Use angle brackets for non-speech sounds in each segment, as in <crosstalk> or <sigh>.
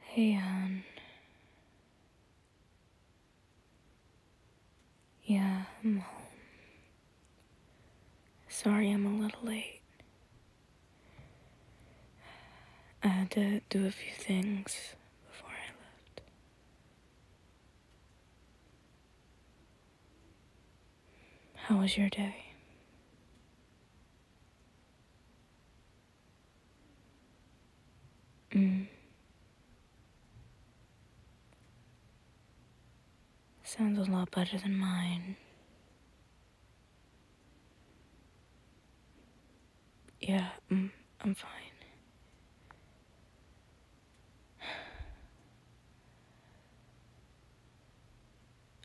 Hey, Anne. Yeah, I'm home. Sorry I'm a little late. I had to do a few things before I left. How was your day? Mm. Sounds a lot better than mine. Yeah, mm, I'm fine.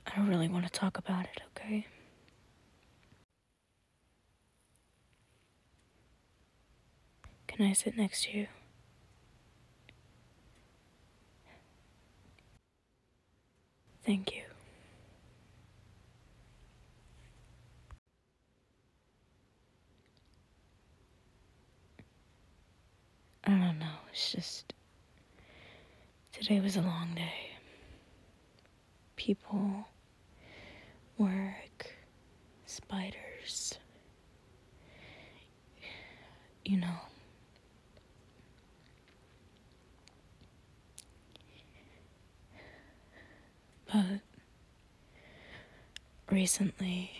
I don't really want to talk about it, okay? Can I sit next to you? Thank you. I don't know. It's just. Today was a long day. People, work, spiders. You know. But recently,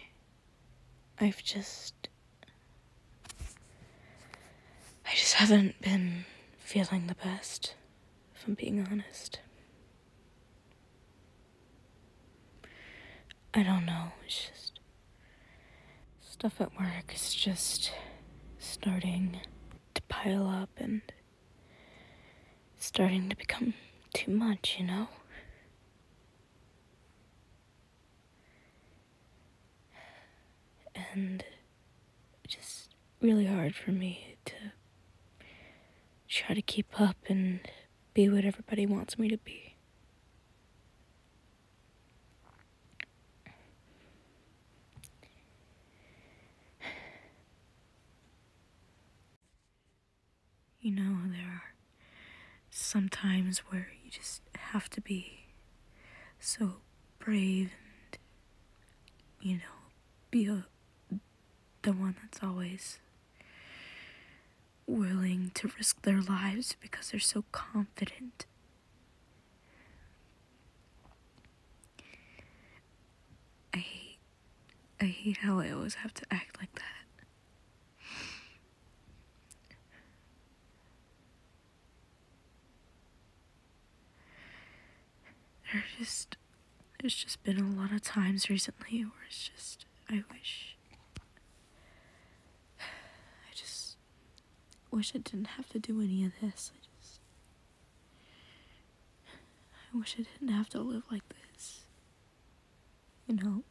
I've just I just haven't been feeling the best, if I'm being honest. I don't know, it's just. Stuff at work is just starting to pile up and starting to become too much, you know? And just really hard for me to try to keep up and be what everybody wants me to be. You know, there are sometimes where you just have to be so brave and you know be the one that's always willing to risk their lives because they're so confident I hate I hate how I always have to act like that there's just there's just been a lot of times recently where it's just I wish I just wish I didn't have to do any of this. I just I wish I didn't have to live like this you know.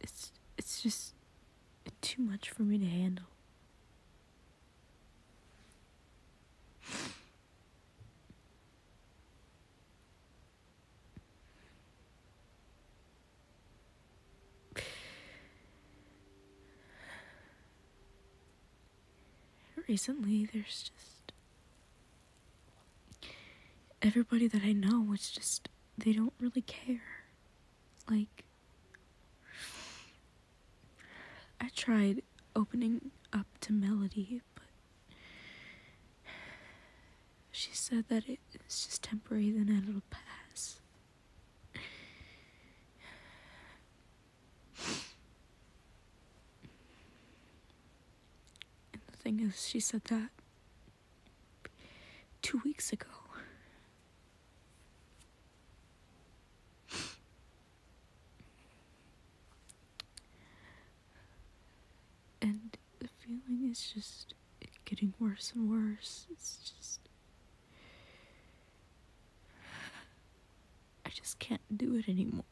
It's it's just too much for me to handle. Recently, there's just. Everybody that I know, it's just. They don't really care. Like. I tried opening up to Melody, but she said that it's just temporary, then it'll pass the thing is, she said that two weeks ago. And the feeling is just getting worse and worse. It's just <sighs> I just can't do it anymore.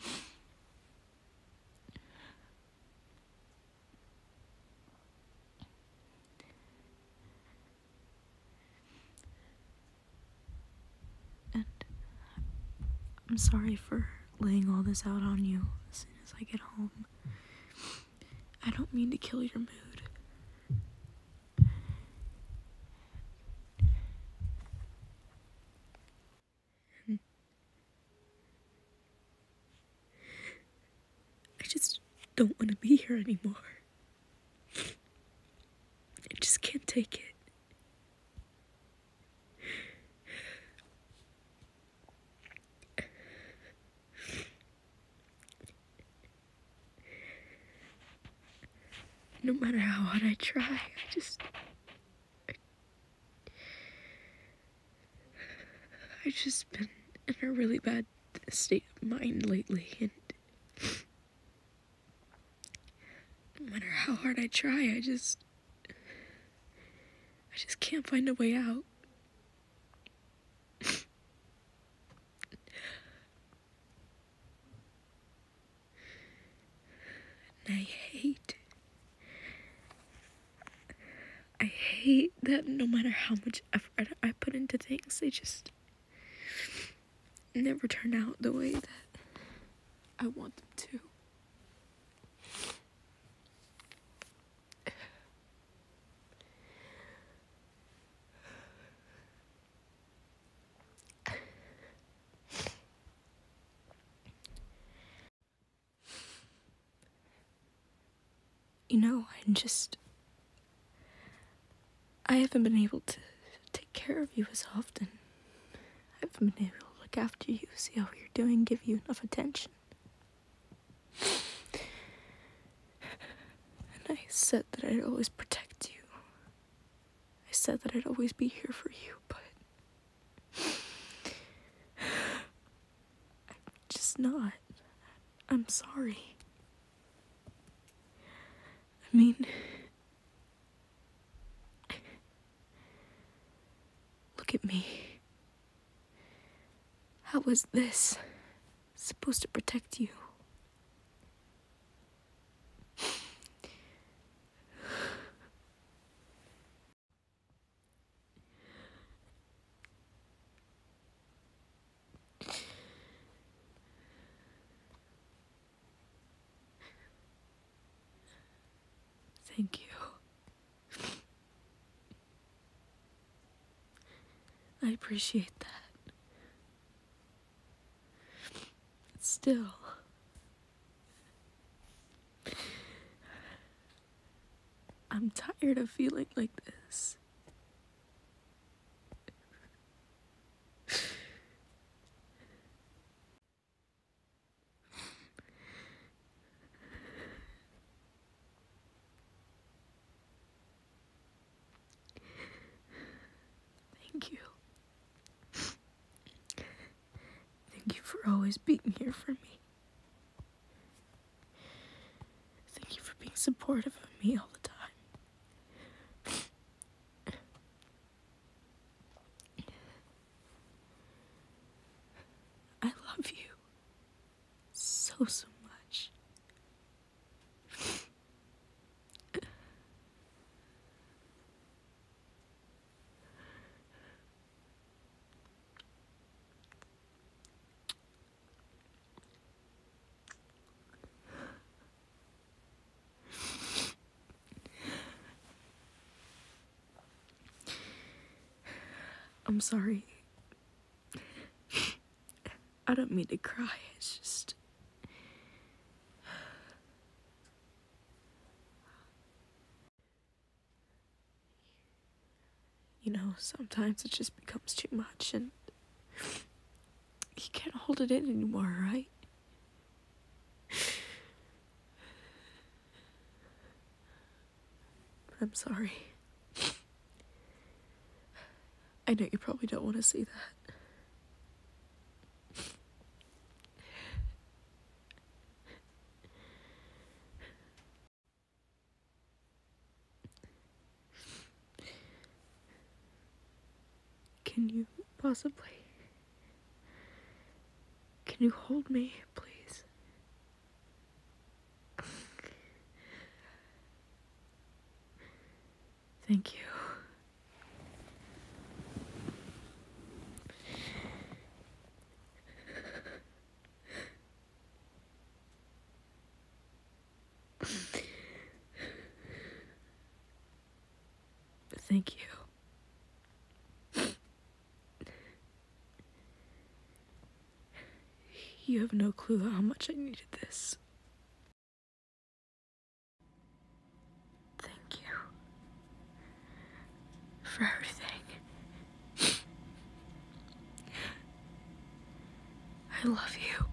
<sighs> And I'm sorry for laying all this out on you as soon as I get home. I don't mean to kill your mood. <laughs> I just don't want to be here anymore. I just can't take it no matter how hard I try, I just. I, have just been in a really bad state of mind lately, and no matter how hard I try, I just. I just can't find a way out. I hate, I hate that no matter how much effort I put into things, they just never turn out the way that I want them to you know, I just. I haven't been able to take care of you as often. I haven't been able to look after you, see how you're doing, give you enough attention. And I said that I'd always protect you. I said that I'd always be here for you, but. I'm just not. I'm sorry. I mean. Look at me. How was this supposed to protect you? <sighs> Thank you. I appreciate that. Still, I'm tired of feeling like this. Thank you. Thank you for always being here for me. Thank you for being supportive of me all the time. I love you so, so much. I'm sorry. I don't mean to cry, it's just... You know, sometimes it just becomes too much and you can't hold it in anymore, right? <laughs> I'm sorry. I know you probably don't want to see that. Can you possibly? Can you hold me, please? Thank you. Thank you. you have no clue how much I needed this. Thank you. For everything. I love you.